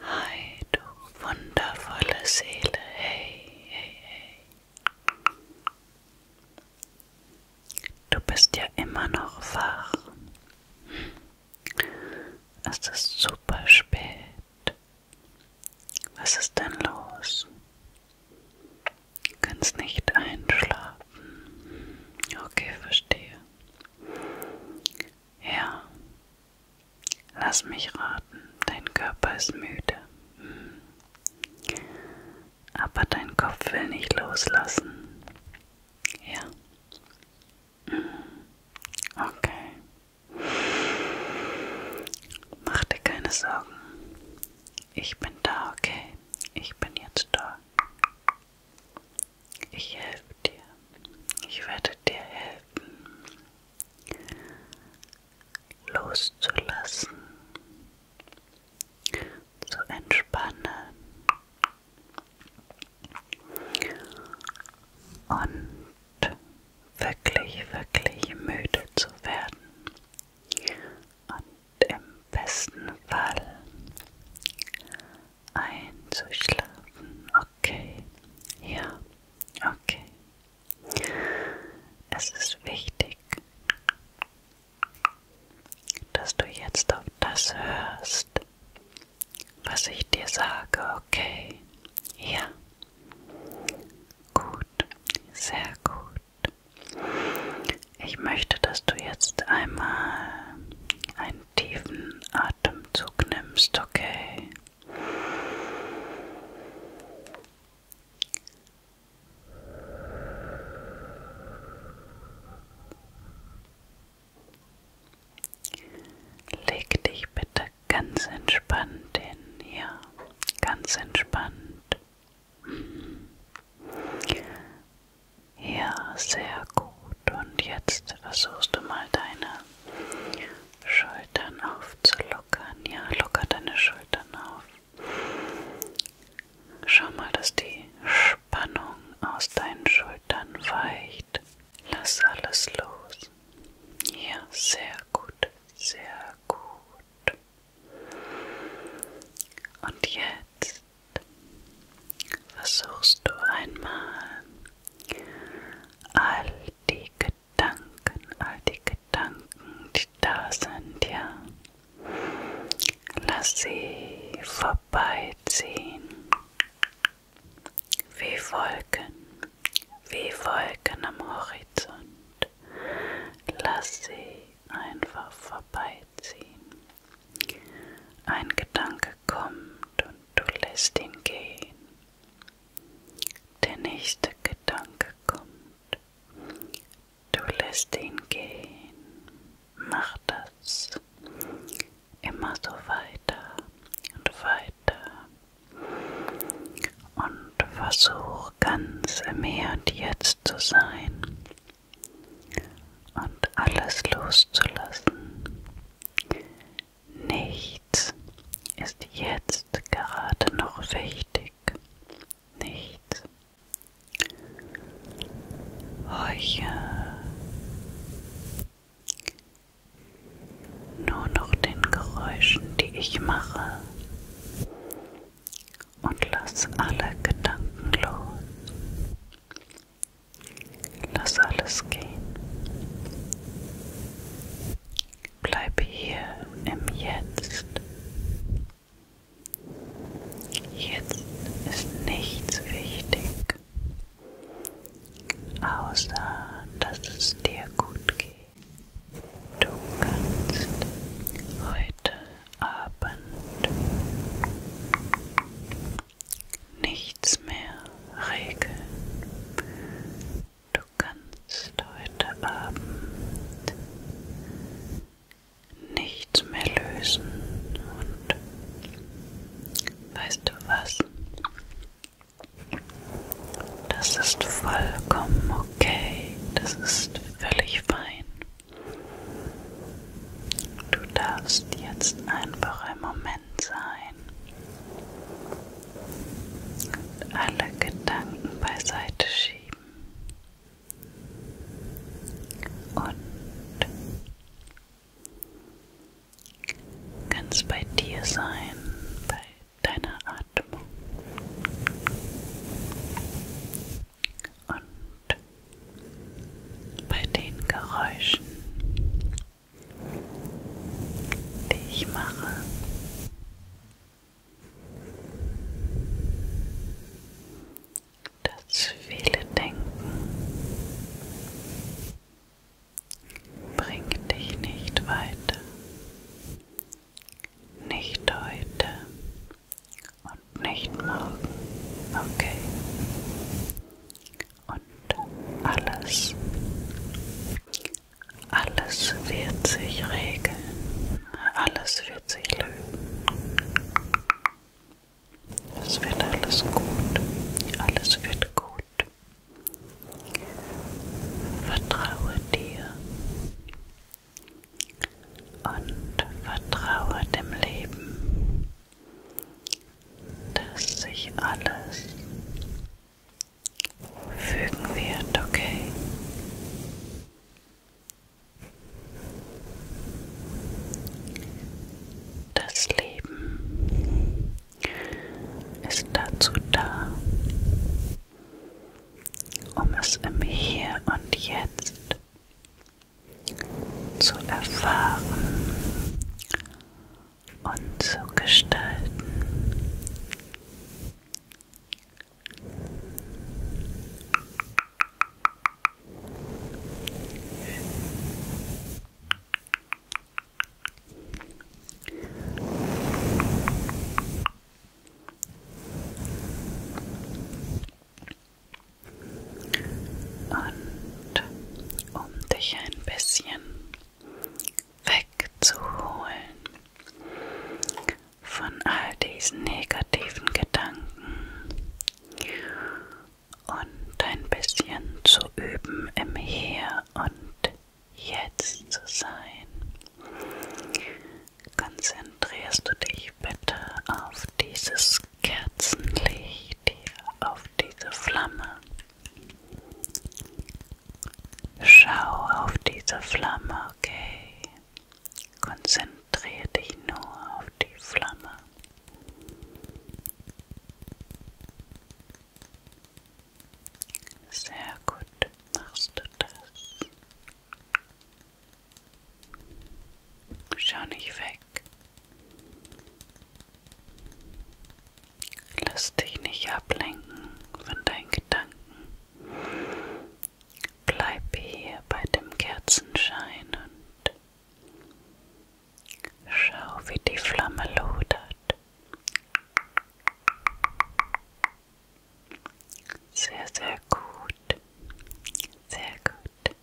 Hi, du wundervolle Seele, hey, hey, hey. Du bist ja immer noch wach. Es ist super spät. Was ist denn los? Du kannst nicht einschlafen. Okay, verstehe. Ja, Lass mich raten, dein Körper ist müde. Hm. Aber dein Kopf will nicht loslassen. Ja. Hm. Okay. Mach dir keine Sorgen. Ich bin da, okay? Ich bin jetzt da. Ich helfe dir. Ich werde dir helfen, loszulassen, zu entspannen und wirklich, wirklich müde zu werden. Und im besten Fall einzuschlafen. Okay, ja, okay. Es ist wichtig, dass du jetzt auf das hörst, was ich dir sage. Okay, ja. Gut, sehr gut. Ich möchte, dass du jetzt einmal ein einen tiefen Atemzug nimmst, okay? Leg dich bitte ganz entspannt hin, ja, ganz entspannt. Ja, sehr gut. Und jetzt versuchst du mal deine Schultern aufzulockern. Ja, locker deine Schultern auf. Schau mal, dass die Spannung aus deinen Schultern weicht. Lass alles los. Ja, sehr gut, sehr gut. Und jetzt versuchst du einmal all die Gedanken, all die Gedanken, die da sind, ja, lass sie vorbeiziehen, wie Wolken, wie Wolken am Horizont, lass sie einfach vorbeiziehen. Ein Gedanke kommt und du lässt ihn gehen. Der nächste Gedanke kommt. Du lässt ihn gehen. Mach das immer so weiter und weiter. Und versuch ganz im Hier und Jetzt zu sein und alles loszulassen. Nichts ist jetzt gerade noch wichtig. Nichts. Heuche. Nur noch den Geräuschen, die ich mache. Und lass alle Gedanken los. Lass alles gehen. Bleib hier im Jetzt. Jetzt ist nichts wichtig, außer dass es dir gut geht. Du kannst heute Abend nichts mehr regeln. Du kannst heute Abend nichts mehr lösen und weißt du was? Das ist vollkommen okay, das ist völlig fein. Du darfst jetzt einfach ein Moment sein und alle Gedanken beiseite schieben und ganz bei dir sein, bei deiner Atmung. Und bei den Geräuschen, die ich mache, dass viele denken, bringt dich nicht weiter, nicht heute, und nicht morgen. Okay. Und alles, alles wird sich regeln. Alles wird sich lösen. Es wird alles gut. Alles wird gut. Vertraue dir und vertraue dem Leben dass sich alles fügen wird, okay? Das Leben ist dazu da, um es im Hier und Jetzt zu erfahren und zu gestalten. Und um dich ein bisschen wegzuholen von all diesen negativen Gedanken und ein bisschen zu üben im Hier und Jetzt zu sein. Konzentrierst du dich bitte auf dieses Kerzenlicht hier auf diese Flamme. Schau auf diese Flamme, okay? Konzentriere dich nur auf die Flamme. Sehr gut machst du das. Schau nicht weg. Lass dich nicht ablenken von deinen Gedanken. Bleib hier bei dem Kerzenschein und schau, wie die Flamme lodert. Sehr, sehr gut. Sehr gut. Licht.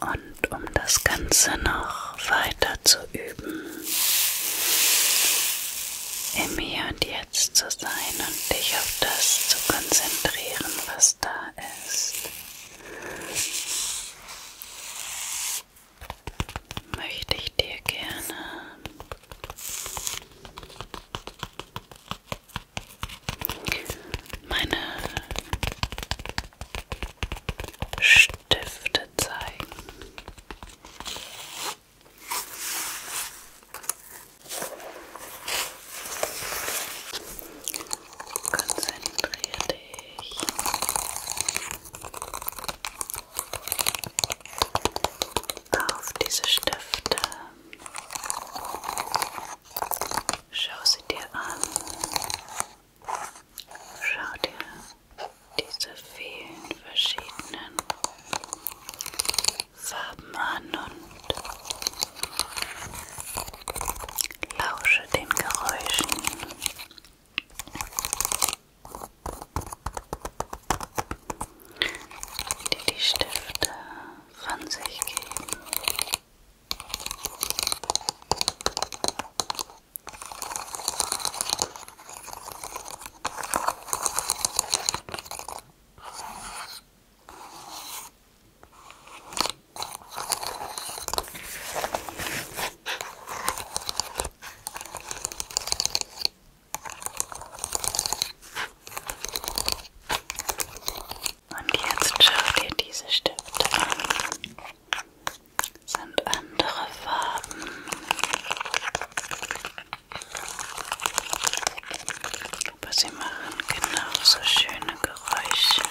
Und um das Ganze noch weiter zu üben, im Hier und Jetzt zu sein und dich auf das zu konzentrieren, was da ist, möchte ich dir gerne meine Stifte zeigen. Konzentriere dich. Auf diese Stifte. Schau sie dir an. Schau dir diese vielen verschiedenen Farben an und lausche den Geräuschen. Die die Stifte von sich geben. Und jetzt schaut ihr diese Stifte an. Sind andere Farben. Aber sie machen genauso schöne Geräusche.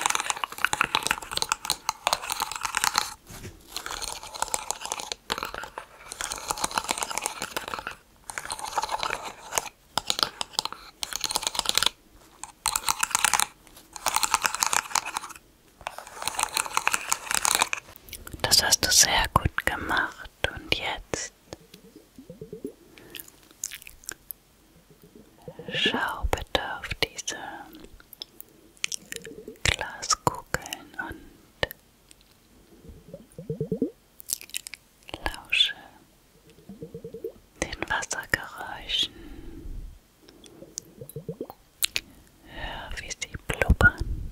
Das hast du sehr gut gemacht und jetzt Schau bitte auf diese Glaskugeln und lausche den Wassergeräuschen. Hör, wie sie blubbern.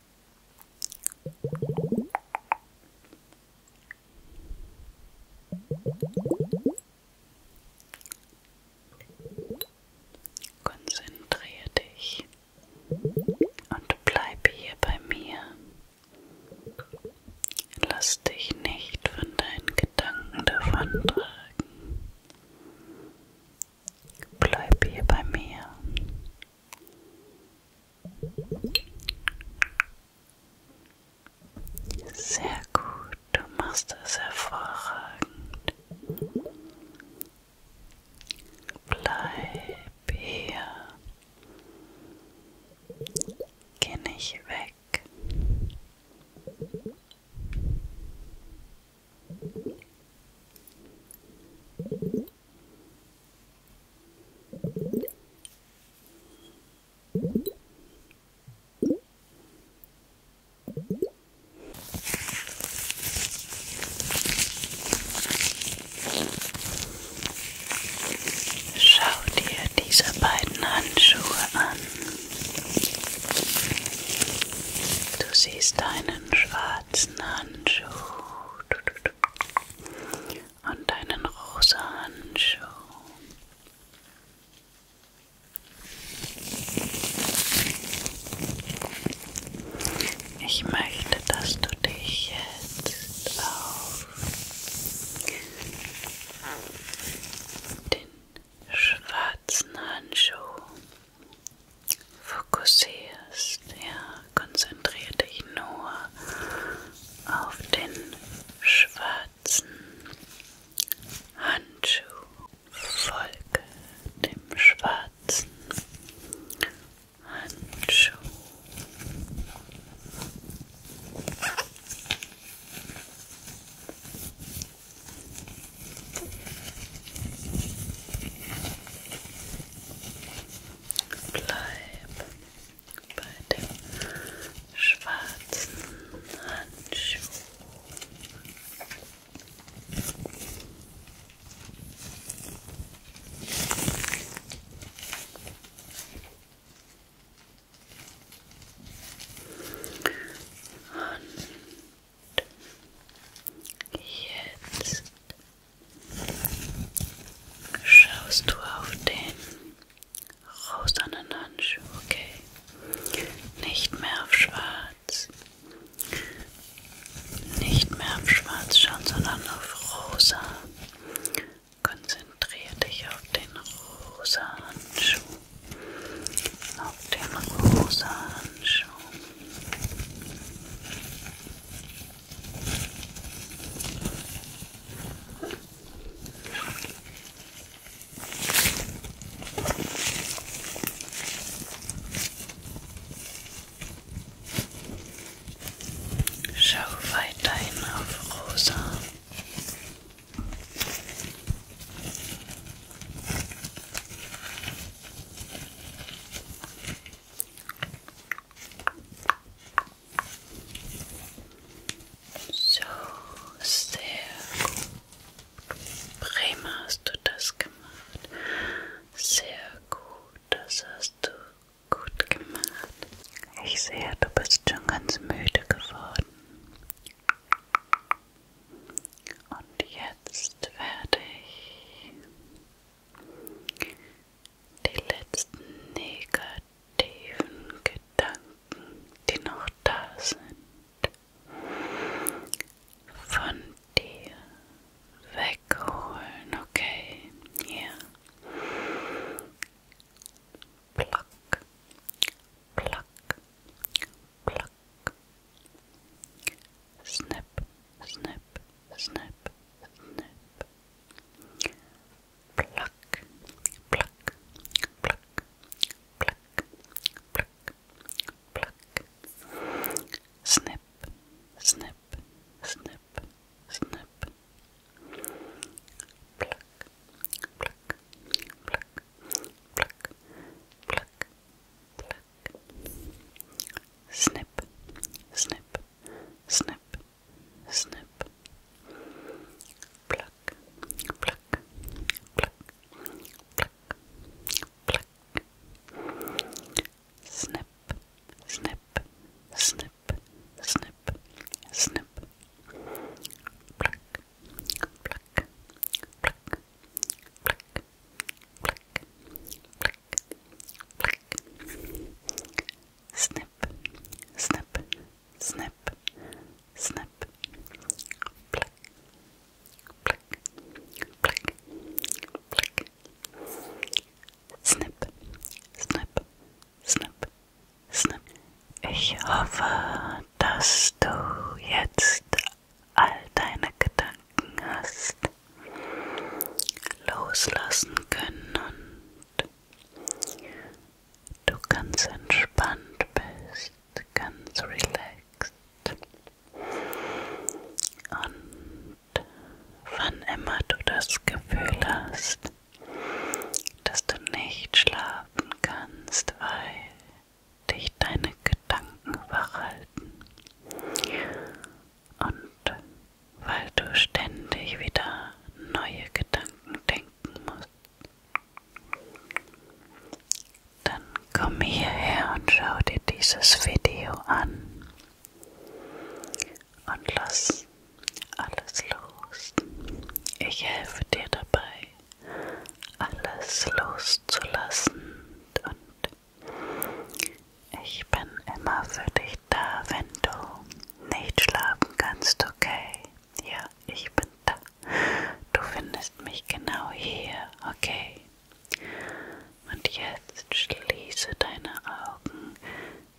Konzentriere dich und bleib hier bei mir. Lass dich nicht von deinen Gedanken davontragen. Bleib hier bei mir sehr gut, du machst es hervorragend. Bleib hier. Geh nicht weg. Schau dir diese beiden Handschuhe an. Du siehst einen schwarzen Handschuh. Du, du, und einen rosa Handschuh. Ich möchte, dass du dich jetzt auf den schwarzen Handschuh fokussierst. Ja, konzentriere dich nur auf den schwarzen Handschuh. Folge dem schwarzen Handschuh bleib bei dem schwarzen Handschuh. Und jetzt Schaust du auf den rosanen Handschuh, okay? Nicht mehr auf schwarz. Nicht mehr auf schwarz schauen, sondern auf rosa. Konzentriere dich auf den rosa Handschuh. Auf den rosa Handschuh. Schau weiterhin auf Rosa. So, sehr gut. Prima hast du das gemacht. Sehr gut, das hast du gut gemacht. Ich sehe, du bist schon ganz müde geworden. Und jetzt werde ich die letzten negativen Gedanken, die noch da sind, von dir wegholen, okay? Hier. Pluck, pluck, pluck, pluck, Snap, snap, snap, snap. Pluck, pluck, pluck, pluck, pluck, pluck. Snip, snip, snip, snip. Pluck, pluck, pluck, pluck, pluck, pluck. Snip, snip, snip, snip. Pluck, pluck, pluck, pluck, pluck. Snip, snip, snip, snip, snip. Pluck, pluck, pluck, Black, black, black, black. Snip, snip, snip, snip. Black, black, black, black. Snip, snip, snip, snip. Ich hoffe, dass du jetzt all deine Gedanken hast loslassen können und du ganz entspannt bist, ganz relaxed. Und wann immer du das Gefühl hast, dass du nicht schlafen kannst, weil dich deine Gedanken verhalten. Und weil du ständig wieder neue Gedanken denken musst, dann komm hierher und schau dir dieses Video an und lass alles los. Ich helfe dir dabei, alles loszulassen und ich bin immer für dich da, wenn du nicht schlafen kannst, okay? Ja, ich bin da. Du findest mich genau hier, okay? Und jetzt schließe deine Augen,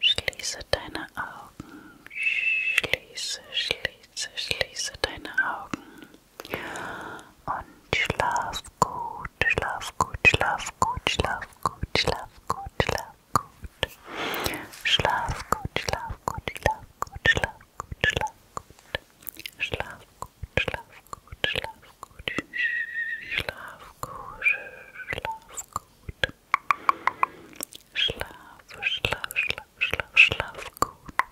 schließe deine Augen, schließe, schließe, schließe deine Augen. Und schlaf gut, schlaf gut, schlaf gut, schlaf gut, schlaf gut, schlaf gut. Schlaf gut, schlaf gut, schlaf gut, schlaf gut, schlaf gut. Schlaf gut, schlaf gut, schlaf gut, schlaf gut, schlaf gut. Schlaf, schlaf, schlaf, schlaf, schlaf gut.